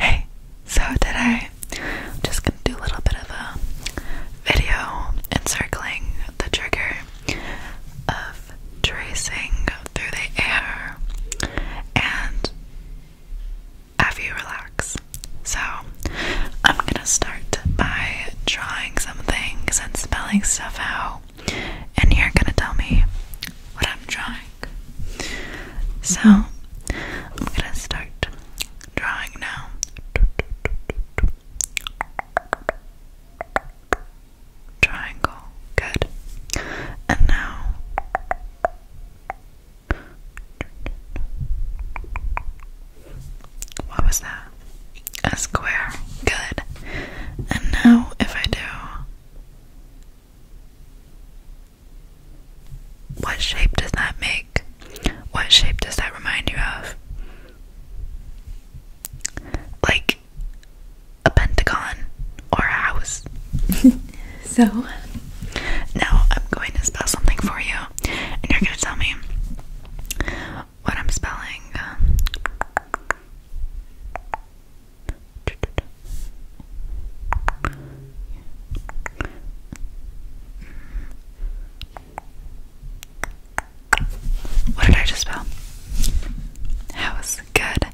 Hey, so today I'm just gonna do a little bit of a video encircling the trigger of tracing through the air and have you relax. So I'm gonna start by drawing some things and spelling stuff out, and you're gonna tell me what I'm drawing. So, I'm gonna start drawing now. Triangle, good. And now, what was that? A square, good. And now, if I do what shape does that make? What shape does that remind you of? Like a pentagon or a house. so, now I'm going to spell something for you, and you're going to tell me what I'm spelling. What did I just spell? House. Good.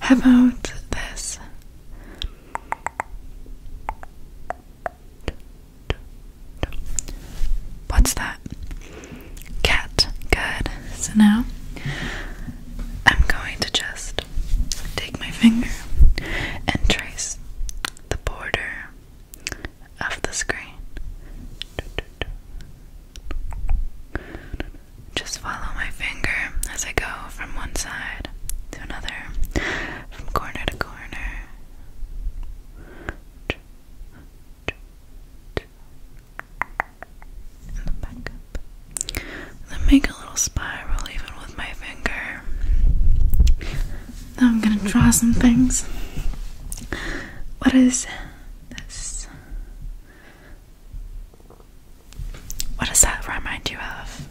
How about this? What's that? cat. Good. So now I'm going to just take my finger and trace the border of the screen. Just follow my finger as I go from one side to another, from corner to corner then make a little spiral even with my finger. Now I'm gonna draw some things. What is this? What does that remind you of?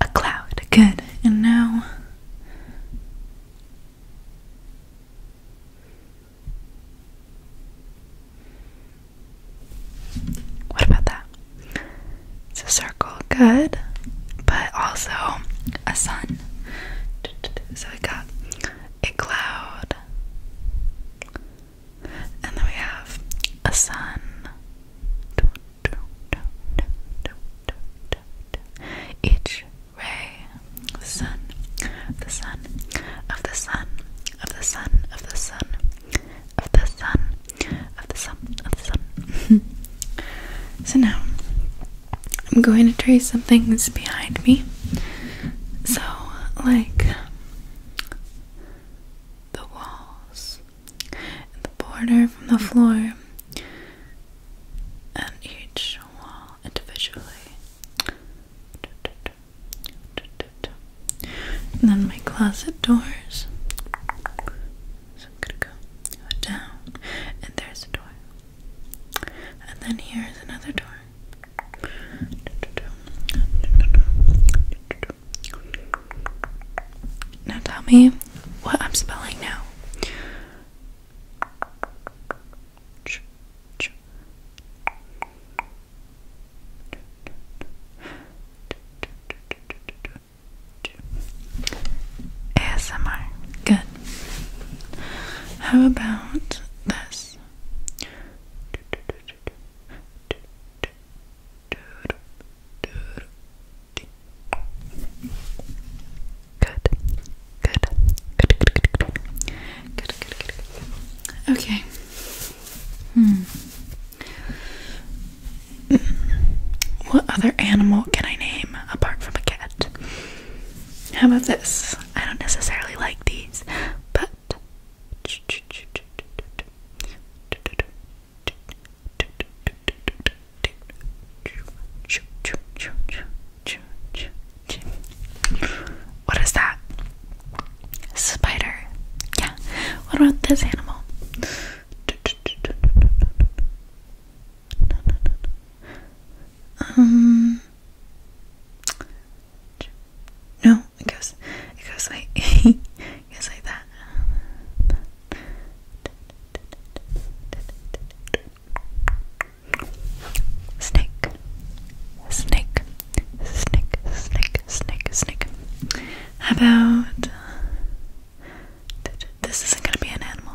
A cloud. Good. And now what about that? It's a circle, good, but also a sun. So we got a cloud, and then we have a sun. Each ray, the sun, the sun, of the sun, of the sun, of the sun, of the sun, of the sun, of the sun. so now I'm going to trace some things behind me. So, like the walls and the border from the floor and each wall individually. And then my closet doors. So I'm gonna go down, and there's a door. And then here's another door. Now tell me what I'm spelling now. ASMR. Good. How about this? good, good, good, good, good, good, good, good. Okay. Hmm. What other animal can I name apart from a cat? How about this? I don't necessarily like these, but what is that? Spider. Yeah. What about this animal? Um, no, it goes. It goes like You like that. Snake, snake, snake, snake, snake, snake. How about this? Isn't going to be an animal.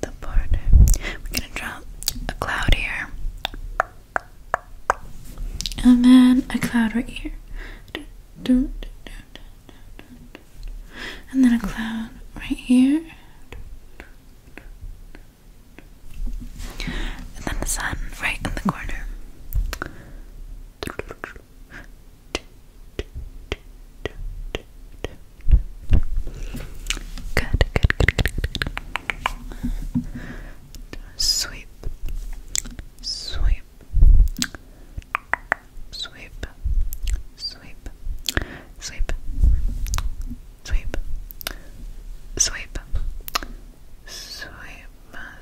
the border. We're gonna draw a cloud here, and then a cloud right here, and then a cloud right here, and then the sun right in the corner. Good, good, good, Sweep, sweep, sweep, sweep, sweep, sweep, sweep, sweep,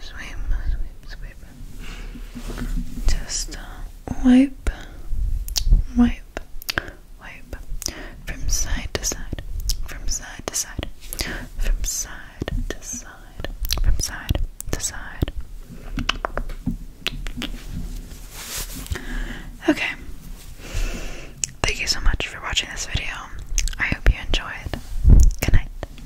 sweep, sweep, sweep. Just uh, wipe, wipe, wipe from side to side, from side to side, from side to side, from side to side. Okay. Thank you so much for watching this video. I hope you enjoyed. Good night.